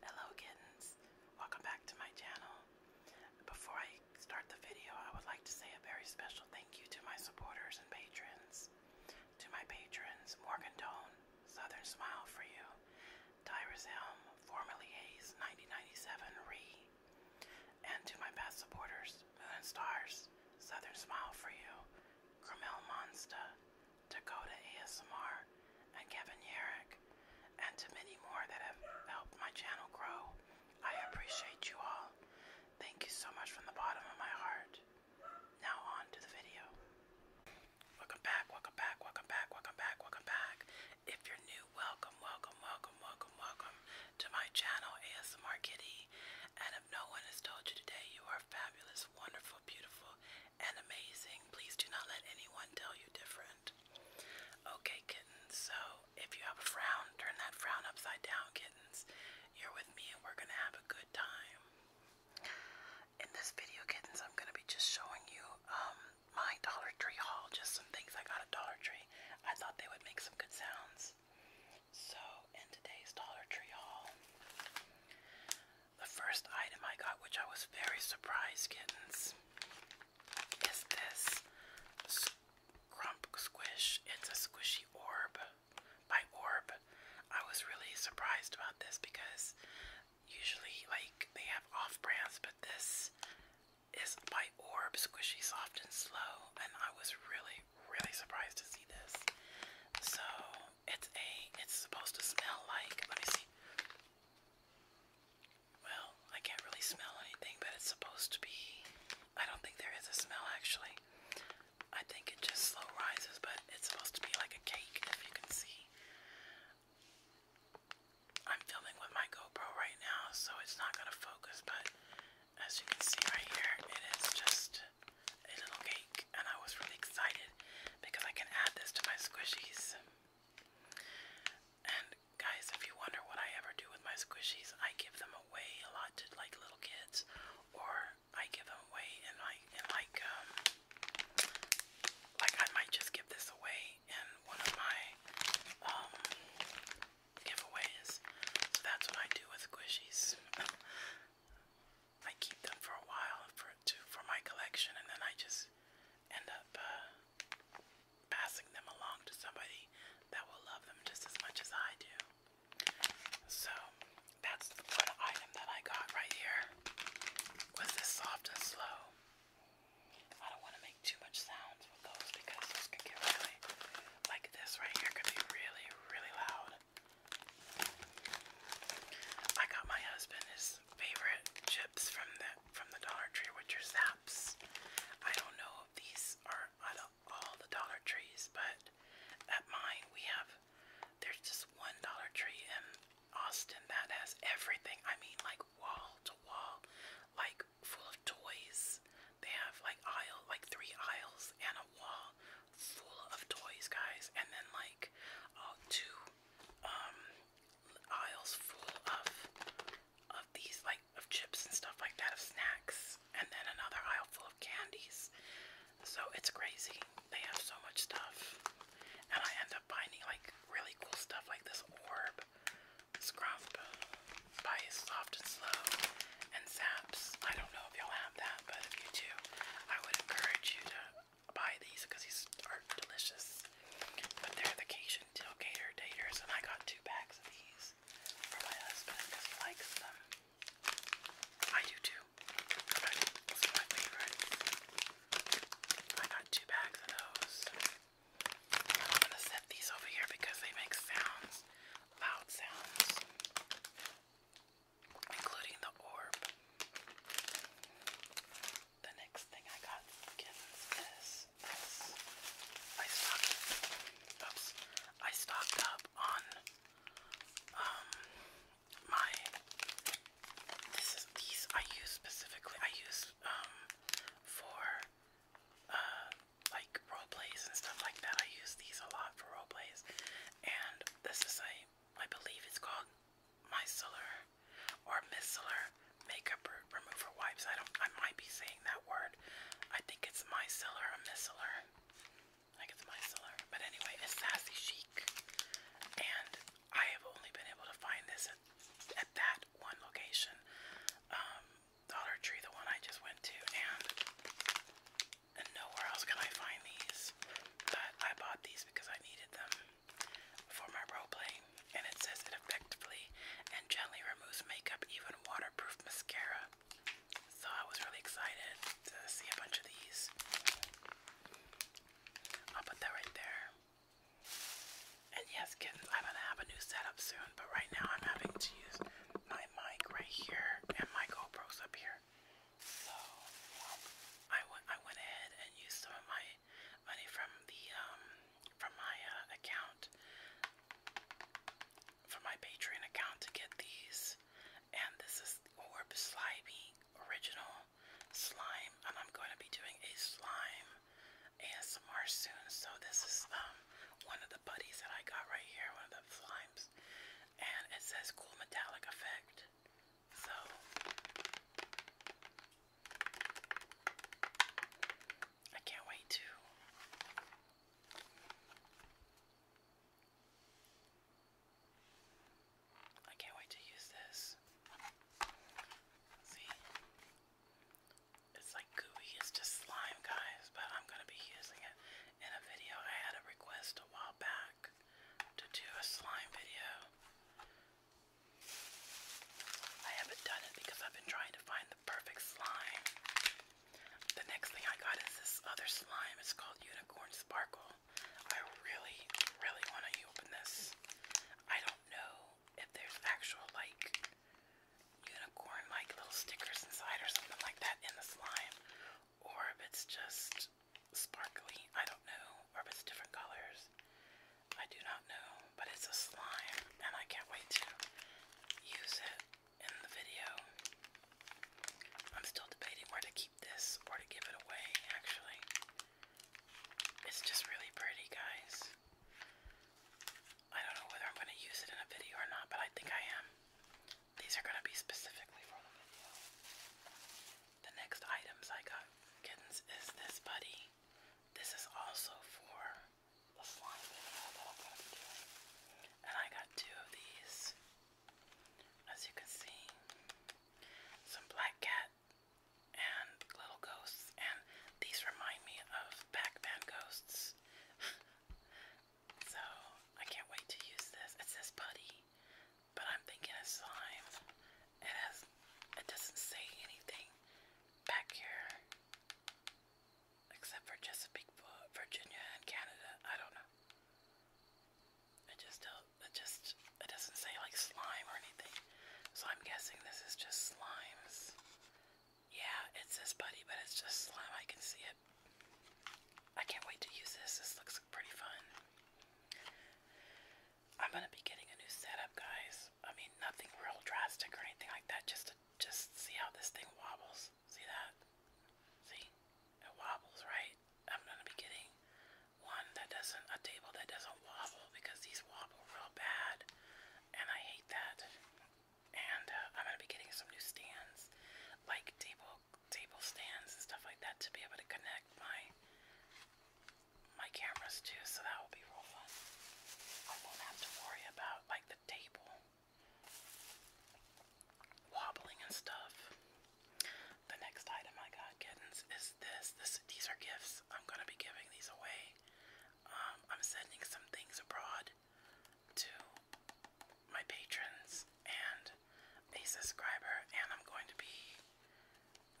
Hello kittens, welcome back to my channel. Before I start the video, I would like to say a very special thank you to my supporters and patrons. To my patrons, Morgan Tone, Southern Smile For You, Tyrus Helm, formerly Hayes 1997 Re, and to my best supporters, Moon and Stars, Southern Smile For You, Grimel Monsta, Dakota ASMR, and Kevin Yarrick, and to many more that have helped my channel grow. I appreciate you all. Thank you so much from the bottom of my heart. Now on to the video. Welcome back, welcome back, welcome back, welcome back, welcome back. If you're new, welcome, welcome, welcome, welcome, welcome to my channel, ASMR Kitty. And if no one has told you today, you are fabulous, wonderful, beautiful, and amazing. Please do not let anyone tell you different. Okay, kittens, so if you have a frown, turn that frown upside down, kittens. You're with me and we're going to have a good time. In this video, kittens, I'm going to be just showing you um, my Dollar Tree haul, just some things I got at Dollar Tree. I thought they would make some good sounds. So, in today's Dollar Tree haul, the first item I got, which I was very surprised, kittens, is this Crump Squish. It's a squishy orb by Orb. I was really surprised about this because usually, like, they have off brands, but this is by Orb Squishy Soft and Slow, and I was really, really surprised to see this. So, it's a it's supposed to smell like let me see. Well, I can't really smell anything, but it's supposed to be I don't think there is a smell actually. I think it just slow rises, but it's supposed to be like a cake if you can see. I'm filming with my GoPro right now, so it's not gonna focus, but as you can see right here, it is just a little cake, and I was really excited because I can add this to my squishies. And guys, if you wonder what I ever do with my squishies, I give them away a lot to like little kids, or I give them away and like and like um like I might just give this away in one of my um giveaways. So that's what I do with squishies. I keep them for a while for to for my collection, and then I just end up uh, passing them along to somebody that will love them just as much as I do. So that's one item that I got right here. Was this soft and slow? I don't want to make too much sound with those because those can get really like this right here could be really, really loud. I got my husband his favorite chips from the from the Dollar Tree, which are Zaps. I don't know if these are out all the Dollar Trees, but at mine we have there's just one Dollar Tree in Austin that has everything. I mean like wall to wall, like full of toys. They have like aisle like three aisles and a wall full of toys guys and then like uh, um aisles full of of these like of chips and stuff like that of snacks and then another aisle full of candies. So it's crazy. They have so much stuff. And I end up finding like really cool stuff like this orb scrump by Soft and Slow and Zaps. I don't know if y'all have that, but if you do, I would encourage you to buy these because these are delicious. But they're the Cajun Dill Gator Daters, and I got two bags of these for my husband because he likes them. I do too. But it's my favorite. I got two bags of those. I'm gonna set these over here because they make sounds, loud sounds including the orb. The next thing I got is this. I stocked oops. I stocked up on um my this is these I use specifically I use um for uh like role plays and stuff like that. I use these a lot for role plays and this is a I believe it's called micellar or micellar makeup remover wipes. I don't. I might be saying that word. I think it's micellar or micellar. I think it's But anyway, it's sassy chic, and I have only been able to find this at, that one location, um, Dollar Tree, the one I just went to, and nowhere else could I find these. But I bought these because I needed them for my roleplay, and it says it effectively and gently removes makeup, even waterproof mascara. So I was really excited to see a bunch of these. I'll put that right there. And yes, kittens, I'm gonna have a new setup soon, but right now I'm having to use my mic right here and my GoPro's up here. So I went I went ahead and used some of my money from the um, from my uh, account from my Patreon account to get these. And this is Orb Slimy original slime, and I'm going to be doing a slime ASMR soon. So this is um one of the buddies that I got right here, one of the slimes, and it says cool metallic effect. So I can't wait to I can't wait to use this. See? It's like gooey, it's just slime guys, but I'm gonna be using it in a video. I had a request a while back to do a slime video. I haven't done it because I've been trying to find the perfect slime. The next thing I got is this other slime. It's called Unicorn Sparkle. I really, really want to open this. I don't know if there's actual, like, unicorn like little stickers inside or something like that in the slime, or if it's just sparkly, I don't know, or if it's different colors. I do not know, but it's a slime, and I can't wait to use it in the video. I'm still debating where to keep this or to give it away, actually. It's just really pretty, guys. I don't know whether I'm going to use it in a video or not, but I think I am. These are going to be specifically for the video. The next items I got, is this buddy. This is also for the slime And I got two of these. As you can see, some black cat and little ghosts. And these remind me of Pac-Man ghosts. so I can't wait to use this. It's this buddy. But I'm thinking it's slime. It has it doesn't say anything back here. Except for just a big book, Virginia and Canada. I don't know. It just it just it doesn't say like slime or anything. So I'm guessing this is just slimes. Yeah, it says buddy, but it's just slime. I can see it. I can't wait to use this. This looks pretty fun. I'm gonna be getting a new setup, guys. I mean, nothing real drastic or anything like that. Just to just see how this thing wobbles. See that? See, it wobbles, right? I'm gonna be getting one that doesn't a table that doesn't wobble because these wobble real bad, and I hate that. And uh, I'm gonna be getting some new stands, like table table stands and stuff like that to be able to connect my my cameras too, so that will be real fun. I won't have to worry about like the table wobbling and stuff. The next item I got kittens is this. This these are gifts. I'm gonna be giving these away. Um, I'm sending some things abroad to my patrons and a subscriber, and I'm going to be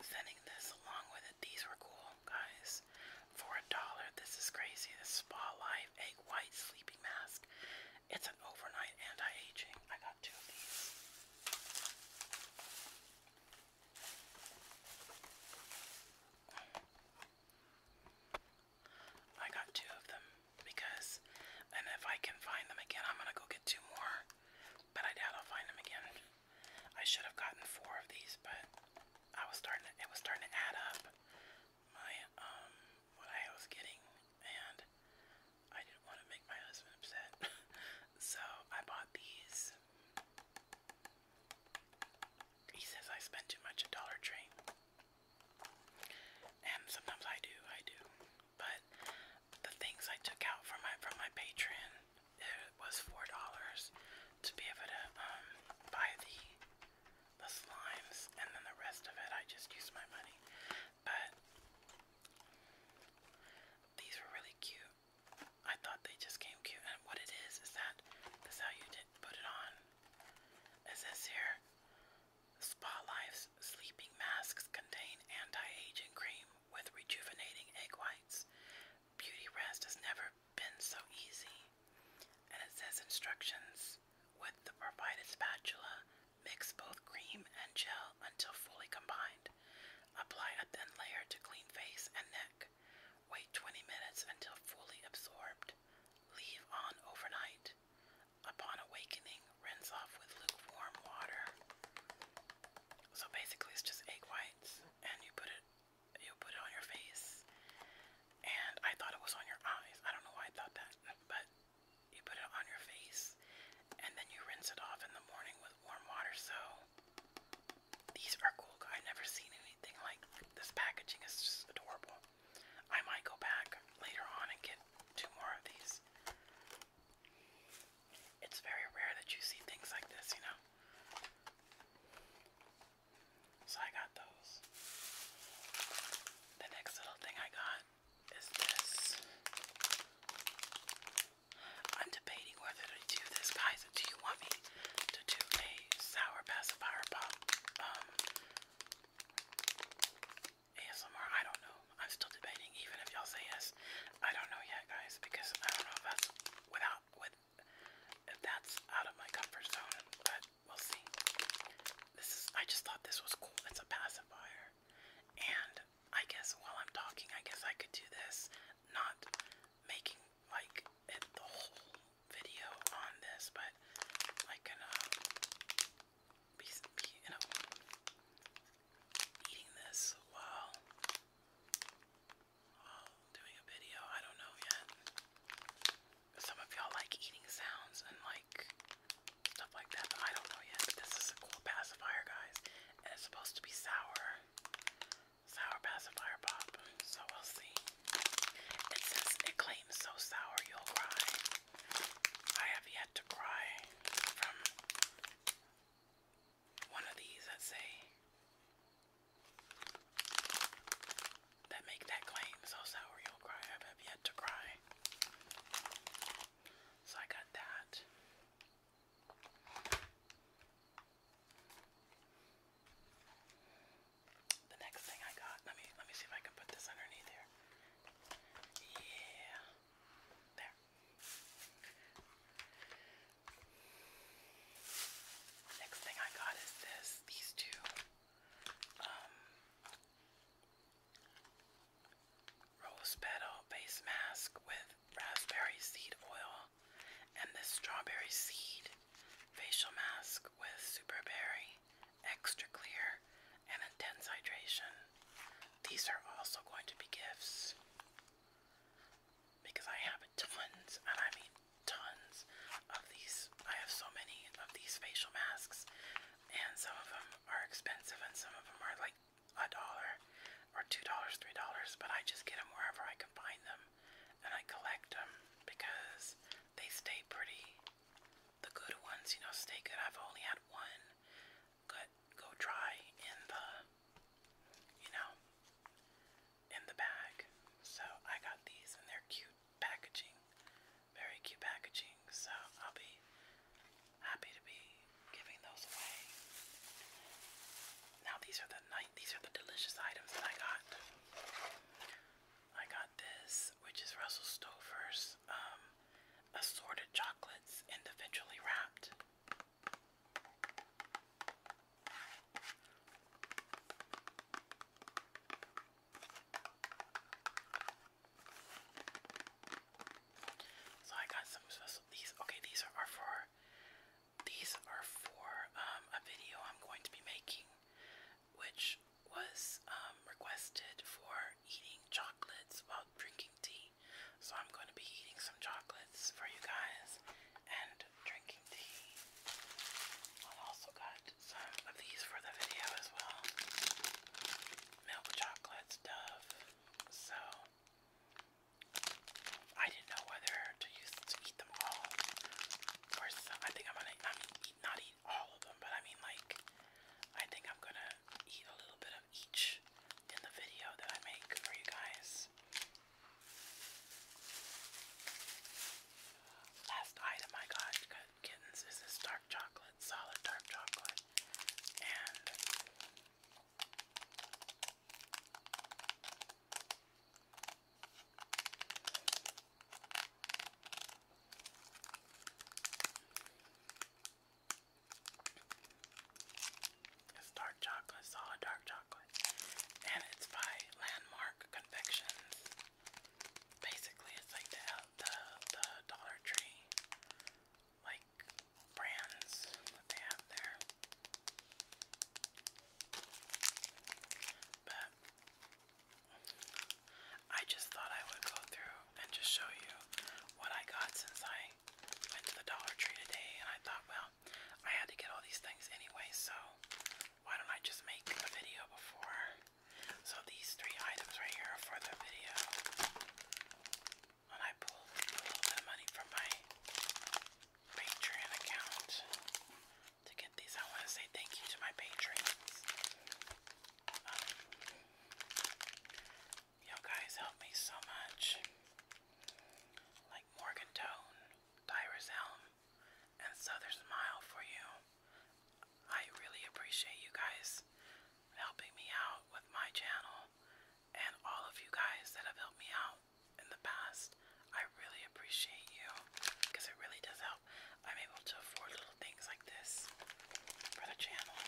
sending this along with it. These were cool, guys. For a dollar, this is crazy. The Spa Life Egg White Sleeping Mask. It's an overnight anti-aging. I got two of these. I got two of them because, and if I can find them again, I'm gonna go get two more but I doubt I'll find them again. I should have gotten four of these, but I was starting to, it was starting to add up my um what I was getting and I didn't want to make my husband upset. so I bought these. He says I spent too much at Dollar Tree. And sometimes I do, I do. But the things I took out from my from my Patreon, it was four dollars to be able to um, buy the the slimes, and then the rest of it I just used my money. But these were really cute. I thought they just came cute, and what it is is that this how you did put it on. Is this here? Spa Life's sleeping masks contain anti-aging cream with rejuvenating egg whites. Beauty rest has never been so easy. And it says instructions with the provided spatula, mix both cream and gel until fully combined. Apply a thin layer to clean face and neck. Wait 20 minutes until fully absorbed. Leave on overnight. Upon awakening, rinse off with lukewarm water. So basically, it's just egg whites, and you put it, you put it on your face. And I thought it was on your eyes. I don't know why I thought that, but you put it on your face, and then you rinse it off in the morning with warm water. So these are cool. I've never seen anything like this. Packaging is just adorable. I might go back later on and get two more of these. It's very rare that you see things like this, you know. So I got those. The next little thing I got is this. I'm debating whether to do this, guys. Do you want me to do a sour pacifier pop? Um, ASMR, I don't know. I'm still debating even if y'all say yes. I don't know yet guys because I don't know if that's without with that's out of my comfort zone, but we'll see. This is I just thought this was cool. It's a pacifier. And I guess while I'm talking, I guess I could do this, not making like it, the whole video on this, but I can. uh, be, eating this while, doing a video. I don't know yet. Some of y'all like eating sounds and like stuff like that, I don't know yet. this is a cool pacifier, guys, it's supposed to be sour, sour pacifier pop. So we'll see. It says it claims so sour you'll cry. I have yet to cry from one of these, i say, that make that claim so sour you'll cry. I have yet to cry. So I got that. The next thing I got, let me let me see if I can put this underneath here. Yeah. There. Next thing I got is this, these two um, rose petal base mask with raspberry seed oil and this strawberry seed facial mask with super berry extra clear and intense hydration. These are also going to be gifts because I have tons, and I mean tons of these. I have so many of these facial masks, and some of them are expensive, and some of them are like a dollar or two dollars, three dollars. But I just get them wherever I can find them, and I collect them because they stay pretty. The good ones, you know, stay good. I've only had one go, dry in the, you know, in the bag. So I got these and they're cute packaging, very cute packaging. So I'll be happy to be giving those away. Now these are the night. These are the delicious items that I got. I got this, which is Russell Stover's um, assorted chocolates individually wrapped. So I got some special these okay these are, for these are for um, a video I'm going to be making which was um, requested for eating chocolates while drinking tea. So I'm going to be eating some chocolates for you guys and drinking tea. I also got some of these for the video as well. Milk chocolates, Dove. So I didn't know whether to use to eat them all or some. I think I'm gonna. not eat all of them, but I mean like. I think I'm gonna eat a little bit of each in the video that I make for you guys. Last item I got, kittens, is this dark chocolate, solid dark chocolate. And it's dark chocolate, solid dark chocolate. And it's by Landmark Confections. Basically, it's like the, the, Dollar Tree, like brands that they have there. But I just thought I would go through and just show you what I got since I went to the Dollar Tree today. And I thought, well, I had to get all these things anyway, so why don't I just make a video before? So these three items right here for the video. And I pulled a little bit of money from my Patreon account to get these. I want to say thank you to my patrons. Um, you guys helped me so much. Like Morgantone, Tyrus Elm, and Southern Smile for you. I really appreciate you guys helping me out with my channel and all of you guys that have helped me out in the past. I really appreciate you because it really does help. I'm able to afford little things like this for the channel.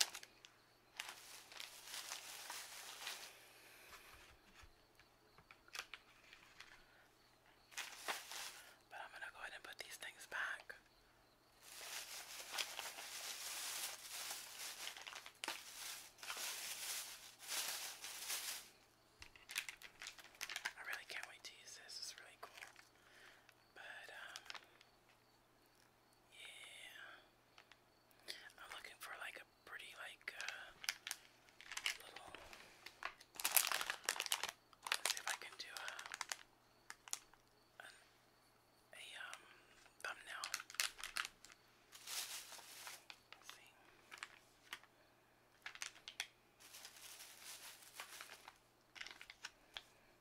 But I'm going to go ahead and put these things back. I really can't wait to use this. It's really cool. But um yeah. I'm looking for like a pretty like uh, little see if I can do a a, a um thumbnail. Let's see.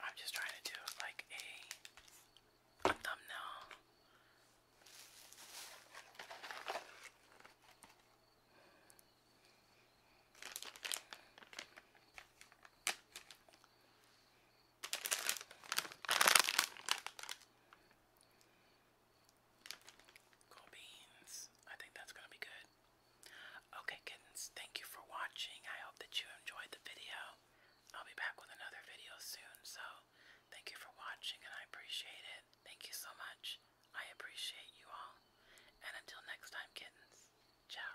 I'm just trying to do like a, thumbnail. Cool beans. I think that's gonna be good. Okay, kittens, thank you for watching. I hope that you enjoyed the video. I'll be back with another video soon, so thank you for watching and I appreciate it. Thank you so much. I appreciate you all. And until next time, kittens, ciao.